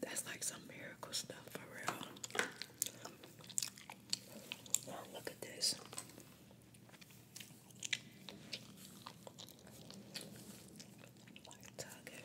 That's like some miracle stuff for real. look at this. Like target.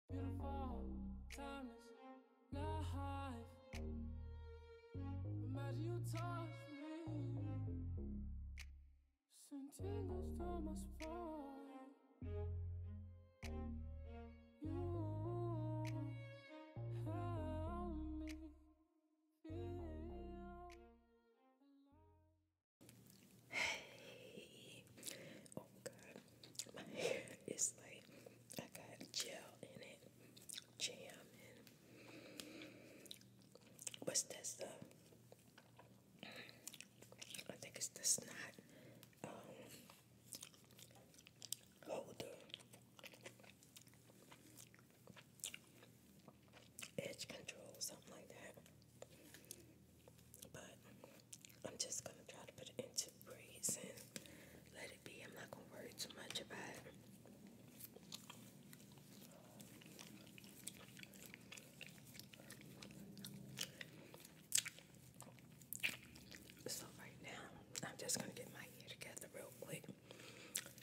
Beautiful, timeless life. Imagine you touch me. Send tingles to my spine. You help me feel alive. oh God, my hair is like I got gel in it, jam what's that stuff? I think it's the snot um, holder. Edge control, something like that. But I'm just gonna try to put it into braids and let it be. I'm not gonna worry too much about it. So right now, I'm just gonna get my hair together real quick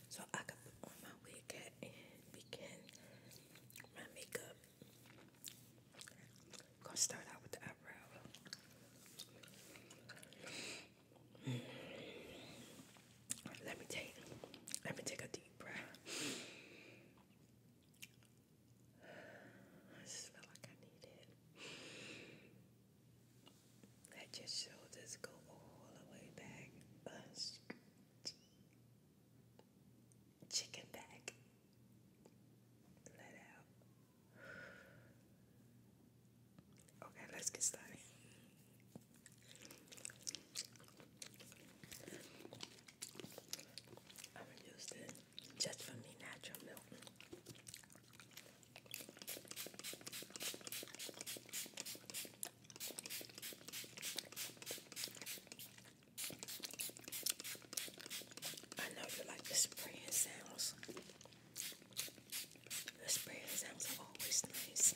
so I can put on my wig and begin my makeup. I'm gonna start out with the eyebrow. Hmm. Let me take let me take a deep breath. I just feel like I need Let your shoulders go all the way back. Chicken back. Let out. Okay, let's get started. I'm gonna just for me natural milk. I know you like the spraying sounds. The spraying sounds are always nice.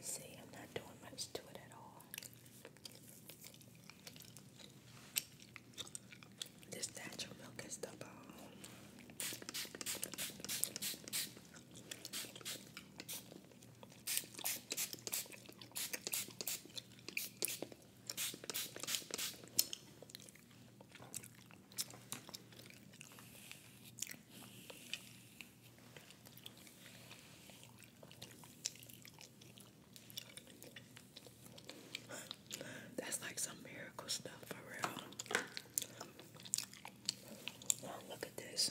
See, I'm not doing much to it at all. This natural milk is the bomb. That's like some miracle stuff for real. look at this.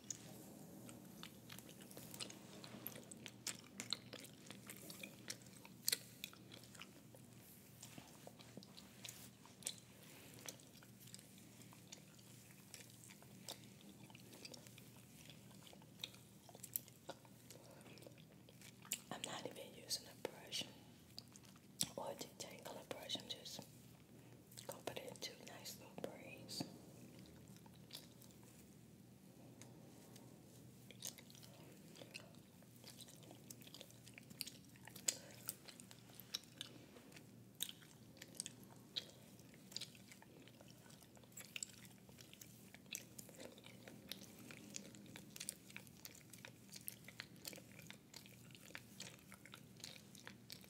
I'm not even using a brush or a brush, I'm just Go put in two nice little braids.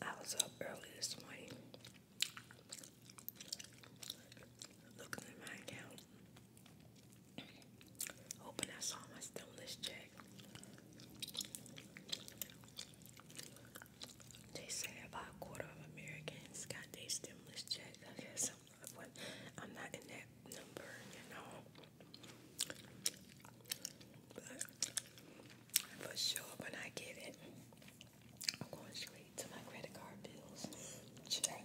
I was up early this morning looking at my account. Hoping I saw my stimulus check. They say about a quarter of Americans got their stimulus check, I guess. I'm not in that number, you know. But for sure, when I get it, I'm going straight to my credit card bills. Check.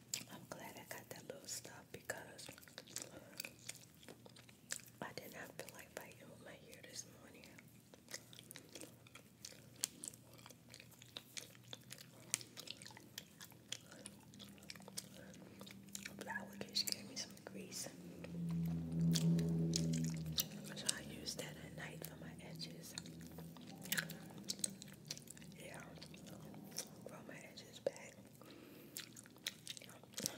I'm glad I got that little stuff because I did not feel like biting with my hair this morning. But I would just give me some grease. So I use that at night for my edges yeah, roll my edges back. And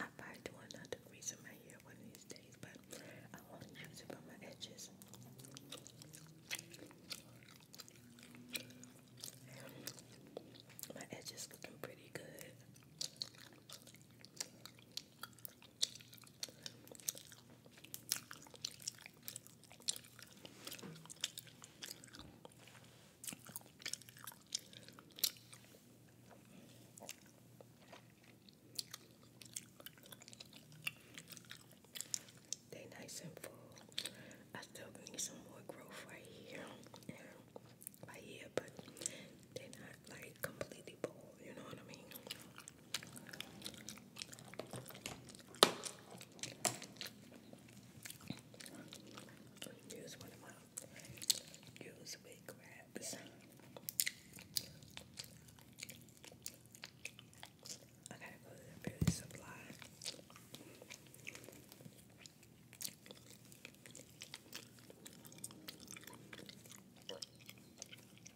I probably do another reason my hair one of these days, but I want to use it for my edges. my edges looking pretty good. They nice and full. I still need some more growth right here right here, but they're not like completely bold, you know what I mean? Use one of my use wig wraps. I gotta go to the beauty supply.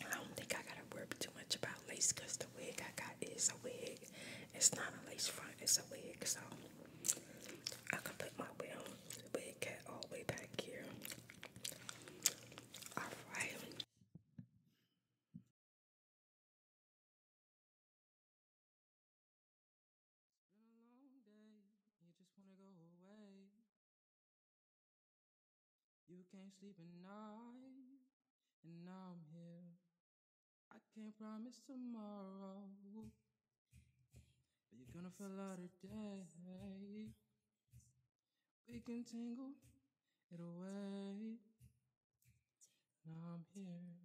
I don't think I gotta worry too much about lace because the wig I got is a wig. It's not a lace front, it's a wig. So I can put my wig, wig cap all the way back here. Alright. It's you can't sleep at night, and now I'm here. I can't promise tomorrow, but you're gonna fall out today. We can tangle it away. Now I'm here.